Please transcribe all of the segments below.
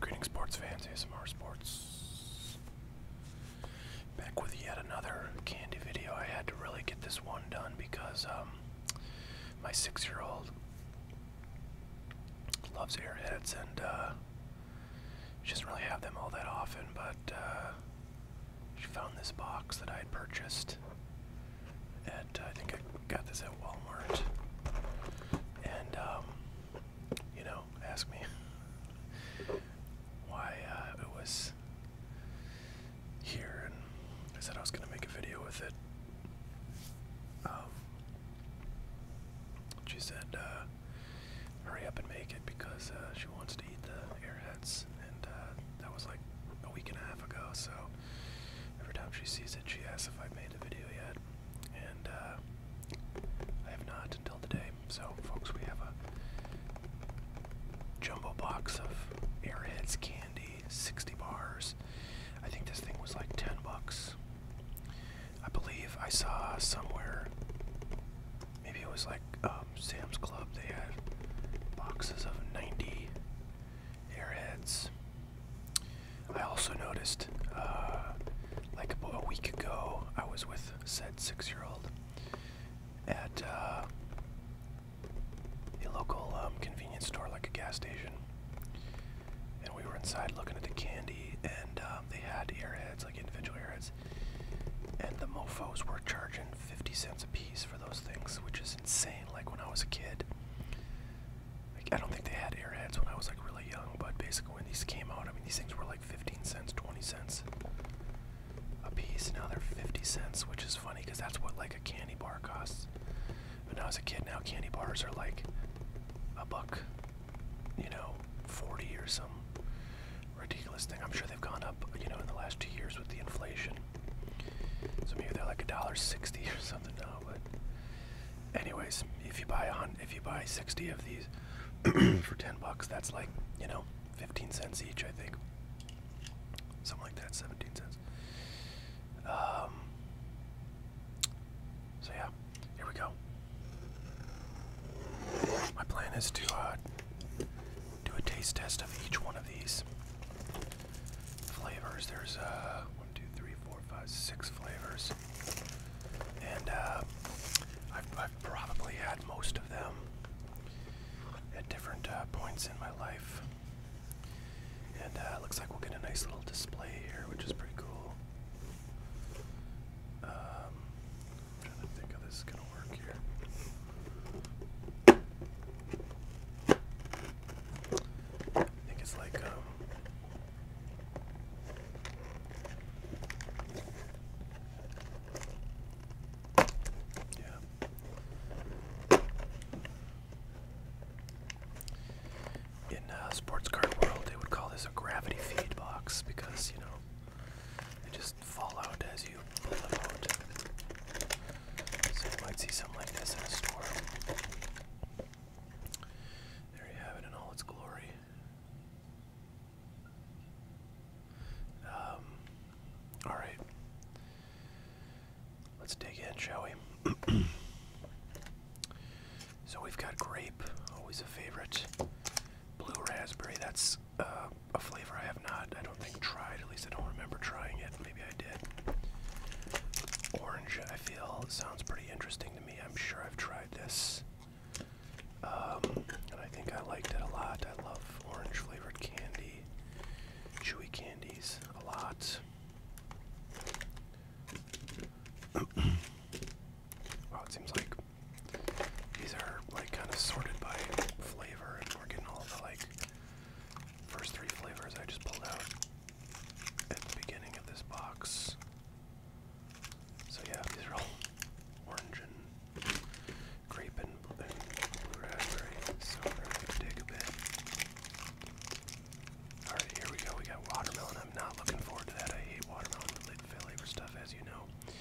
Greetings, sports fans, ASMR Sports. Back with yet another candy video. I had to really get this one done because um, my six year old loves airheads and uh, she doesn't really have them all that often, but uh, she found this box that I had purchased at, I think I got this at Walmart. And, um, you know, ask me why uh, it was here. And I said I was going to make a video with it. Um, she said, uh, hurry up and make it because uh, she wants to eat the airheads, and uh, that was like a week and a half ago. So every time she sees it, she asks if I made the video yet, and uh, I have not until today. So, folks, we have a jumbo box of airheads candy, 60 bars. I think this thing was like 10 bucks. I believe I saw somewhere maybe it was like um, Sam's Club. They had boxes of 90 airheads. I also noticed, uh, like a week ago, I was with said six-year-old at uh, a local um, convenience store, like a gas station, and we were inside looking at the candy, and um, they had airheads, like individual airheads, and the mofos were charging 50 cents a piece for those things, which is insane. Like when I was a kid, like I don't think they had airheads when I was like really young, but basically when these came out, I mean these things were like 15 cents, 20 cents a piece. Now they're 50 cents, which is funny because that's what like a candy bar costs. But now as a kid, now candy bars are like a buck, you know, 40 or some ridiculous thing. I'm sure they've gone up, you know, in the last two years with the inflation. So maybe they're like a dollar sixty or something now. But anyways, if you buy on, if you buy sixty of these for ten bucks, that's like you know, fifteen cents each, I think. Something like that, seventeen cents. Um. So yeah, here we go. My plan is too hot. Uh, do a taste test of each one of these flavors. There's uh, one, two, three, four, five, six flavors, and uh, I've, probably had most of them at different uh, points in my life. And uh, looks like we'll get a nice little display here, which is pretty cool. Um, I'm trying to think how this is gonna work here. I think it's like um, In uh, sports car world, they would call this a gravity feed box because you know they just fall out as you pull them out. So you might see something like this in a store. There you have it in all its glory. Um, Alright. Let's dig in, shall we? so we've got grape, always a favorite. Blue raspberry, that's a flavor I have not, I don't think, tried. At least I don't remember trying it. Maybe I did. Orange, I feel, sounds pretty interesting to me. I'm sure I've tried this. Um, and I think I liked it a lot. I love orange flavored candy, chewy candies a lot. wow, it seems like these are like kind of sorted by flavor, and we're getting all the like first three flavors I just pulled out at the beginning of this box. So yeah, these are all orange and grape and blue, So we're gonna dig a bit. All right, here we go. We got watermelon. I'm not looking forward to that. I hate watermelon-related flavor stuff, as you know.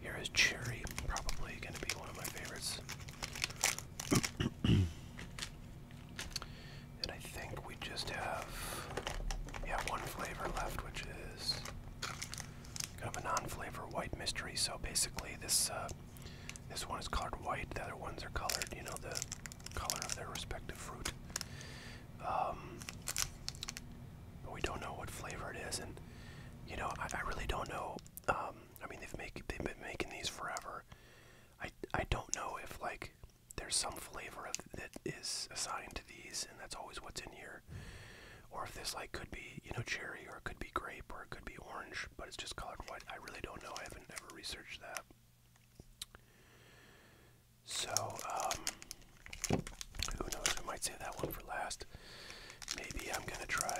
Here is Cherry, probably going to be one of my favorites. and I think we just have, yeah, one flavor left, which is kind of a non-flavor white mystery. So basically, this uh, this one is colored white. The other ones are colored, you know, the color of their respective fruit um, but we don't know what flavor it is, and you know, I, I really don't know. Um, I mean, they've make they've been making these forever. I I don't know if like there's some flavor of, that is assigned to these, and that's always what's in here, or if this like could be you know cherry, or it could be grape, or it could be orange, but it's just colored white. I really don't know. I haven't ever researched that. So, um, who knows? We might save that one for last. Maybe I'm gonna try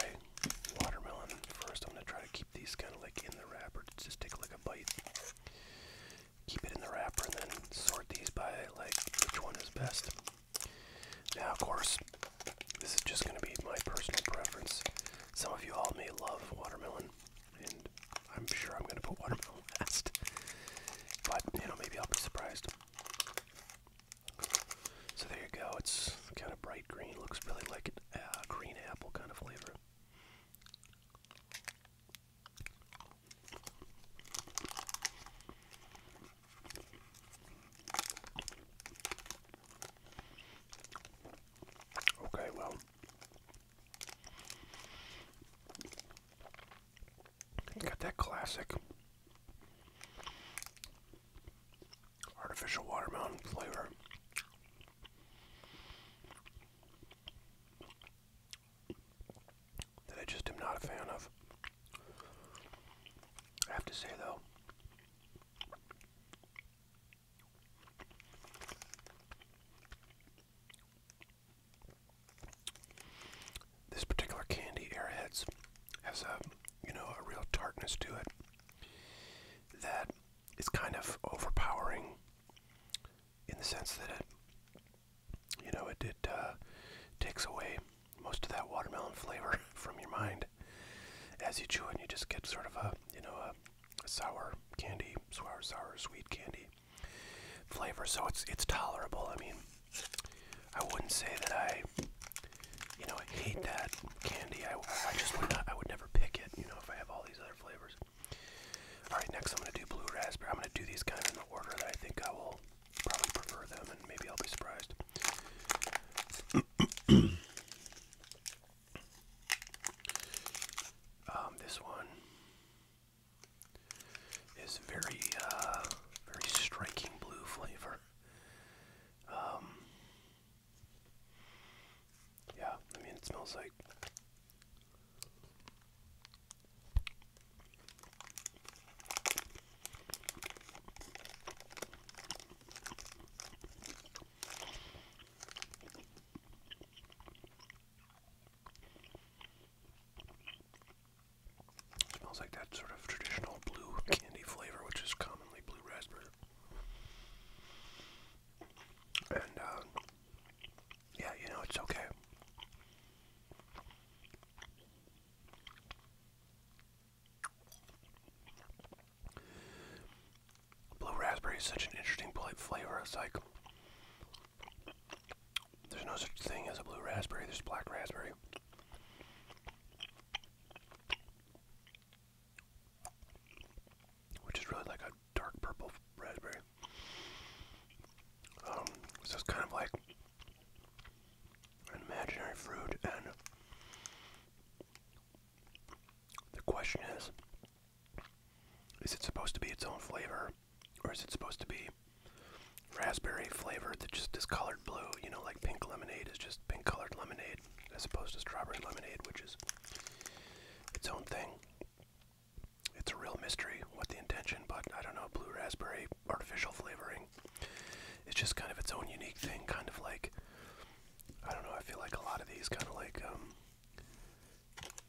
watermelon first. I'm gonna try to keep these kind of like in the wrapper. Just take like a bite. Keep it in the wrapper and then sort these by like which one is best. Now, of course, this is just gonna be my personal preference. Some of you all may love watermelon, and I'm sure I'm gonna put watermelon but, you know, maybe I'll be surprised. So there you go. It's kind of bright green. Looks really like a uh, green apple kind of flavor. Okay, well, got that classic artificial watermelon flavor. That I just am not a fan of. I have to say, though, this particular candy, Airheads, has a you know a real tartness to it that is kind of overpowering in the sense that it you know it it uh, takes away most of that watermelon flavor from your mind as you chew it. And you just get sort of a you know a sour candy, sour sour sweet candy flavor, so it's it's tolerable. I mean, I wouldn't say that I, you know, I hate that candy. I, I just would not. I would never pick it. You know, if I have all these other flavors. All right, next I'm gonna do blue raspberry. I'm gonna do these kind of in the order that I think I will probably prefer them, and maybe I'll be surprised. um, this one is very, uh, very striking blue flavor. Um, yeah, I mean, it smells like. It smells like that sort of traditional blue candy flavor, which is commonly blue raspberry. And, uh, yeah, you know, it's okay. Blue raspberry is such an interesting flavor. It's like there's no such thing as a blue raspberry, there's black raspberry. Which is really like a dark purple raspberry. Um, so it's kind of like an imaginary fruit, and the question is is it supposed to be its own flavor? Or is it supposed to be raspberry flavored that just is colored blue? You know, like pink lemonade is just pink colored lemonade as opposed to strawberry lemonade, which is its own thing. It's a real mystery what the intention, but I don't know, blue raspberry artificial flavoring. It's just kind of its own unique thing, kind of like I don't know, I feel like a lot of these kind of like um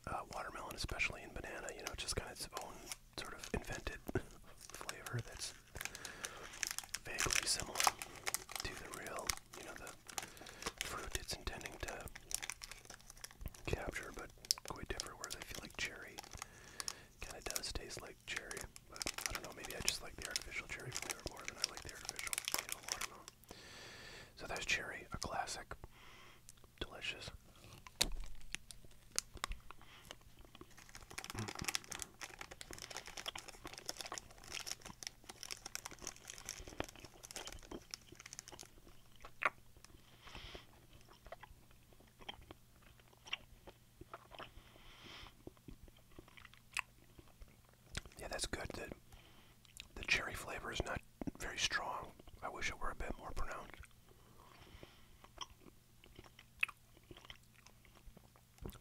uh, watermelon, especially in banana, you know, just kind of its own sort of invented flavor that's vaguely similar to the real, you know, the fruit it's intending to capture, but quite different. Whereas I feel like cherry kind of does taste like cherry, but I don't know. Maybe I just like the artificial cherry flavor more than I like the artificial, you know, watermelon. So there's cherry, a classic. Delicious. Yeah, that's good. The cherry flavor is not very strong. I wish it were a bit more pronounced.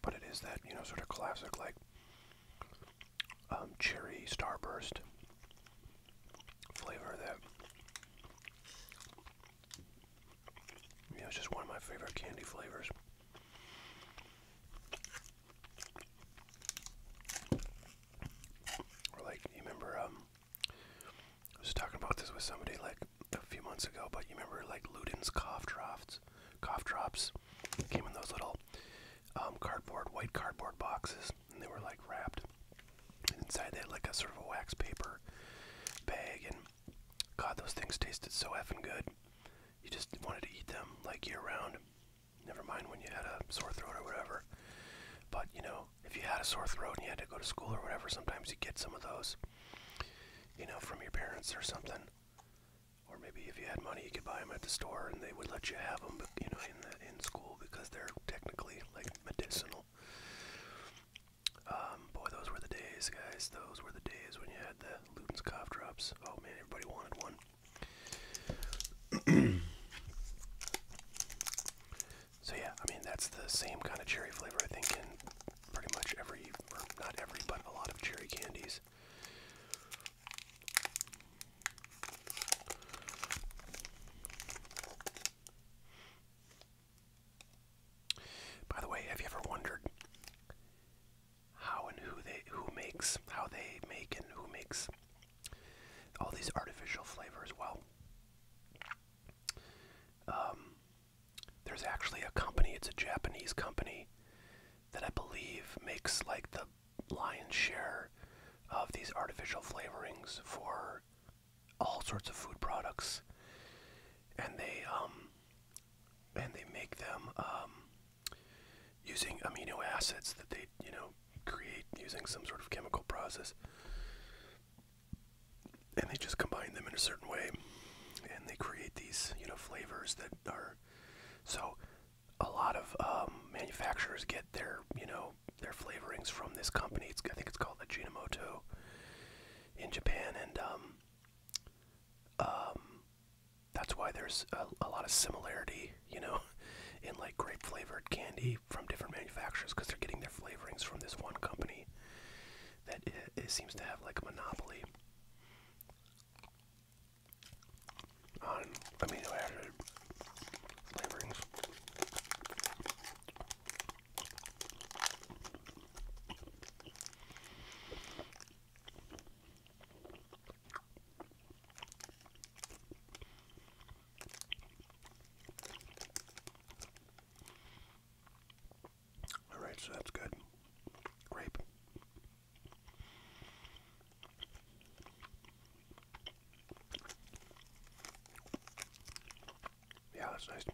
But it is that, you know, sort of classic, like, um, cherry starburst flavor that, you know, it's just one of my favorite candy flavors. Or like, you remember, um, I was talking about this with somebody like a few months ago, but you remember like Luden's cough drops, cough drops came in those little um, cardboard, white cardboard boxes, and they were like wrapped. And inside they had like a sort of a wax paper bag, and God, those things tasted so effing good. You just wanted to eat them like year round. Never mind when you had a sore throat or whatever. But you know, if you had a sore throat and you had to go to school or whatever, sometimes you get some of those, you know, from your parents or something. Or maybe if you had money, you could buy them at the store, and they would let you have them, you know, in the, in school because they're technically like medicinal. Um, boy, those were the days, guys. Those were the days when you had the Luton's cough drops. Oh man, everybody wanted one so yeah, I mean that's the same kind of cherry flavor I think in pretty much every, not every, but a lot of cherry candies. By the way, have you ever wondered how and who they who makes how they make and who makes all these artificial flavors. Well, um, there's actually a company, it's a Japanese company that I believe makes like the lion's share of these artificial flavorings for all sorts of food products and they um and they make them um using amino acids that they, you know, create using some sort of chemical process. And they just combine them in a certain way and they create these, you know, flavors that are so a lot of um, manufacturers get their, you know, their flavorings from this company. It's, I think it's called Ajinomoto in Japan, and um, um, that's why there's a lot of similarity you know, in like grape flavored candy from different manufacturers because they're getting their flavorings from this one company that it, it seems to have like a monopoly on amino acid flavorings. All right, so that's good. Grape. Yeah, that's nice.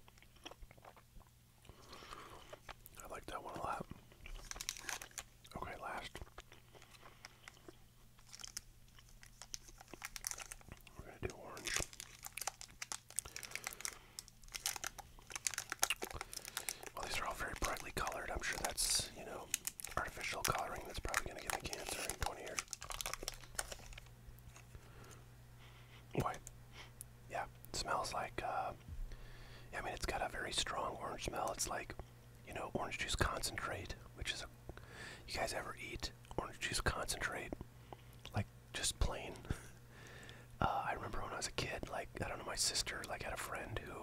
I like that one a lot. Okay, last. We're gonna do orange. Well, these are all very brightly colored. I'm sure that's, you know, artificial coloring that's probably gonna get me cancer in 20 years. Boy, yeah, smells like, uh, I mean, it's got a very strong orange smell. It's like you know, orange juice concentrate, which is a. You guys ever eat orange juice concentrate? Like, just plain? Uh, I remember when I was a kid, like, I don't know, my sister, like, had a friend who,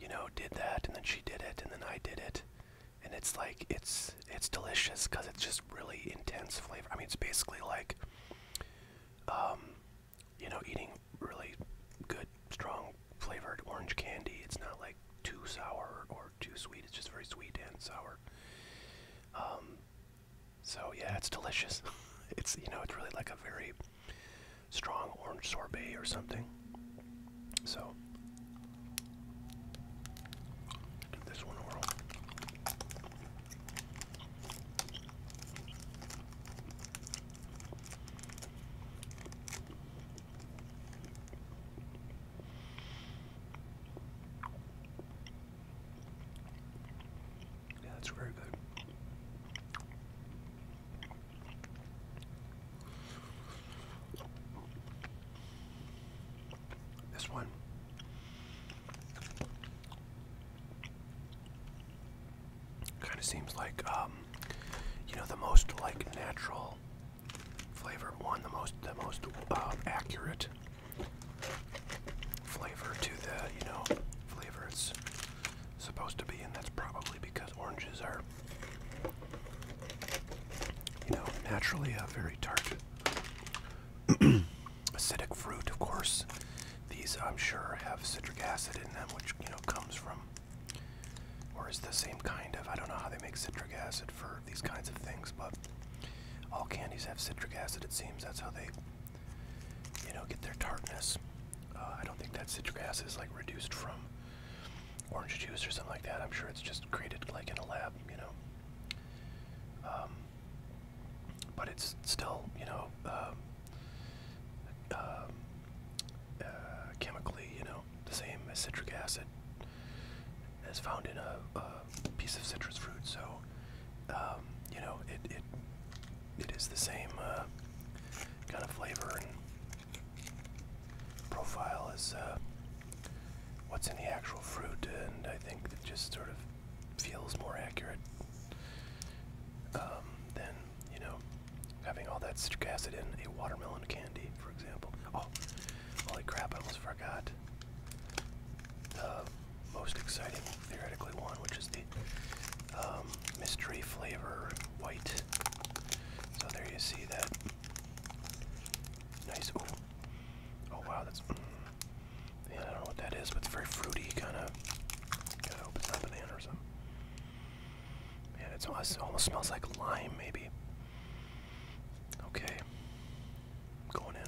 you know, did that, and then she did it, and then I did it. And it's like, it's, it's delicious because it's just really intense flavor. I mean, it's basically like, um, you know, eating really good, strong flavored orange candy. It's not like too sour or too sweet. It's just very sweet and sour. Um, so yeah, it's delicious. it's you know, it's really like a very strong orange sorbet or something. So this one yeah, that's very good. This one Kind of seems like, um, you know, the most like natural flavor one, the most the most um, accurate flavor to the you know flavor it's supposed to be, and that's probably because oranges are you know naturally a very tart acidic fruit. Of course, these I'm sure have citric acid in them, which you know comes from um, or is the same kind of. I don't know how they make citric acid for these kinds of things, but all candies have citric acid. It seems that's how they, you know, get their tartness. Uh, I don't think that citric acid is like reduced from orange juice or something like that. I'm sure it's just created like in a lab, you know. Um, but it's still, you know, um, uh, chemically, you know, the same as citric acid as found in a, piece of citrus fruit. So, um, you know, it, it it is the same uh, kind of flavor and profile as uh, what's in the actual fruit, and I think it just sort of feels more accurate um, than you know Having all that citric acid in a watermelon candy, for example. Oh, holy crap, I almost forgot. The most exciting, theoretically, one, which is the um, mystery flavor white. So there you see that. Nice. Oh, wow, that's. Mm, yeah, I don't know what that is, but it's very fruity, kind of Gotta hope it's banana or something. Man, it's almost, it almost smells like lime, maybe. Okay. going in.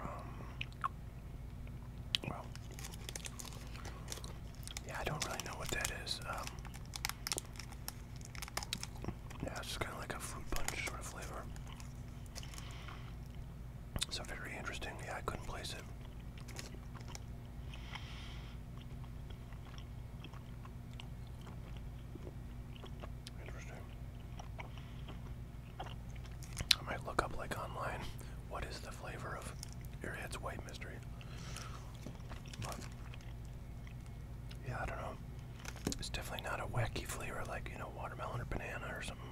Um, yeah, I don't really know what that is. Um, yeah, it's kind of like a fruit punch sort of flavor. So very interesting. Yeah, I couldn't place it. Interesting. I might look up like online what is the flavor of Airhead's White Mystery. yeah, I don't know. It's definitely not a wacky flavor like, you know, watermelon or banana or something.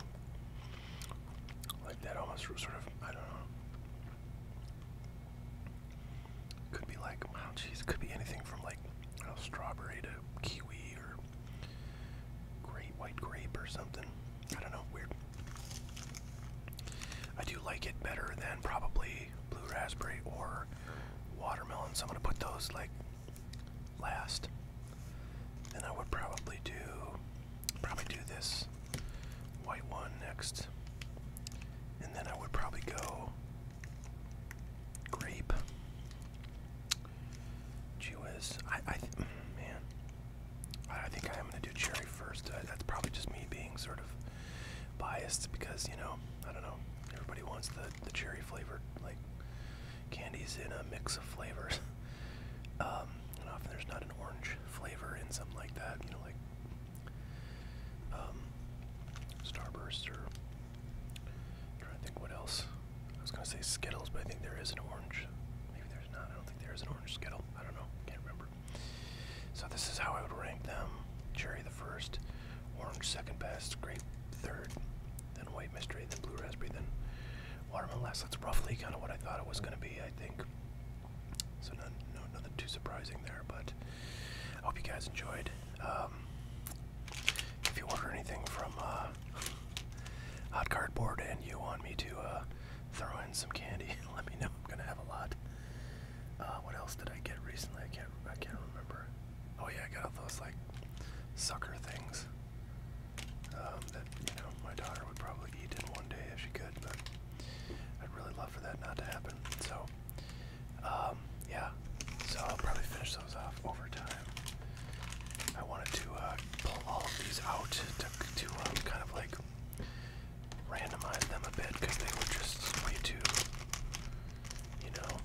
Like that almost sort of, I don't know. Could be like, wow, geez, could be anything from like a strawberry to kiwi or great white grape or something. I don't know, weird. I do like it better than probably blue raspberry or watermelon, so I'm gonna put those like last. Then I would probably do probably do this white one next. And then I would probably go Grape. Chewiz. I, I, man, I think I am gonna do cherry first. Uh, that's probably just me being sort of biased because you know, I don't know. Everybody wants the the cherry flavored like candies in a mix of flavors. Um, and often there's not an orange flavor in something like that, you know, like um, Starburst or i trying to think what else. I was gonna say Skittles, but I think there is an orange. Maybe there's not. I don't think there is an orange Skittle. I don't know. Can't remember. So this is how I would rank them: cherry the first, orange second best, grape third, then white mystery, then blue raspberry, then watermelon last. That's roughly kind of what I thought it was gonna be. I think. So no, nothing too surprising there, but hope you guys enjoyed. Um, if you order anything from uh, Hot Cardboard and you want me to uh, throw in some candy, let me know. I'm gonna have a lot. Uh, what else did I get recently? I can't. I can't remember. Oh yeah, I got those like sucker things um, that you know my daughter would probably eat in one day if she could, but I'd really love for that not to happen. So um, yeah, so I'll probably finish those off over I wanted to uh, pull all of these out to, to um, kind of like randomize them a bit because they were just way too, you know,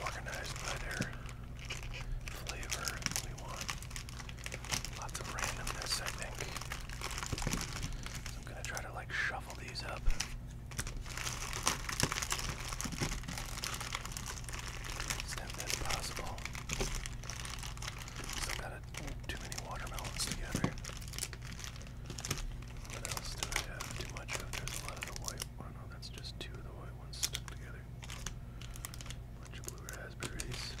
organized by their flavor. We want lots of randomness, I think. I'm gonna try to like shuffle shuffle these up. Extent that's possible. Still got a, too many watermelons together. What else do I have too much of? There's a lot of the white one. Oh, that's just two of the white ones stuck together. Bunch of blue raspberries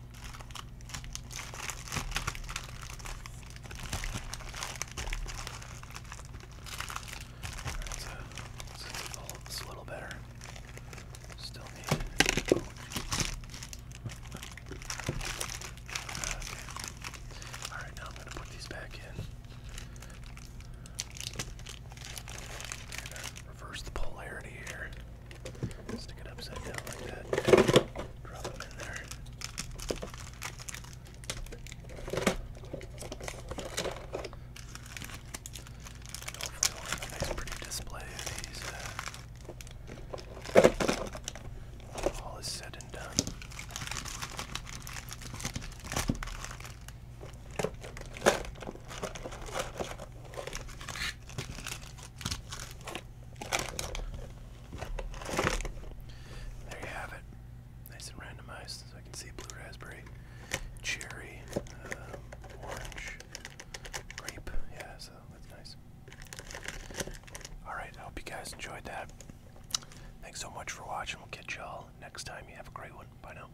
it's a, little, better. Still need Alright, now I'm going to put these back in. And, reverse the polarity here. Stick it upside down like that. Drop them in there. And hopefully we'll have a nice pretty display of these uh, all is said and done. There you have it. Nice and randomized, so I can see blue raspberry, cherry, um, orange, grape. Yeah, so that's nice. Alright, I hope you guys enjoyed that. Thanks so much for watching. We'll catch y'all next time. You have a great one. Bye now.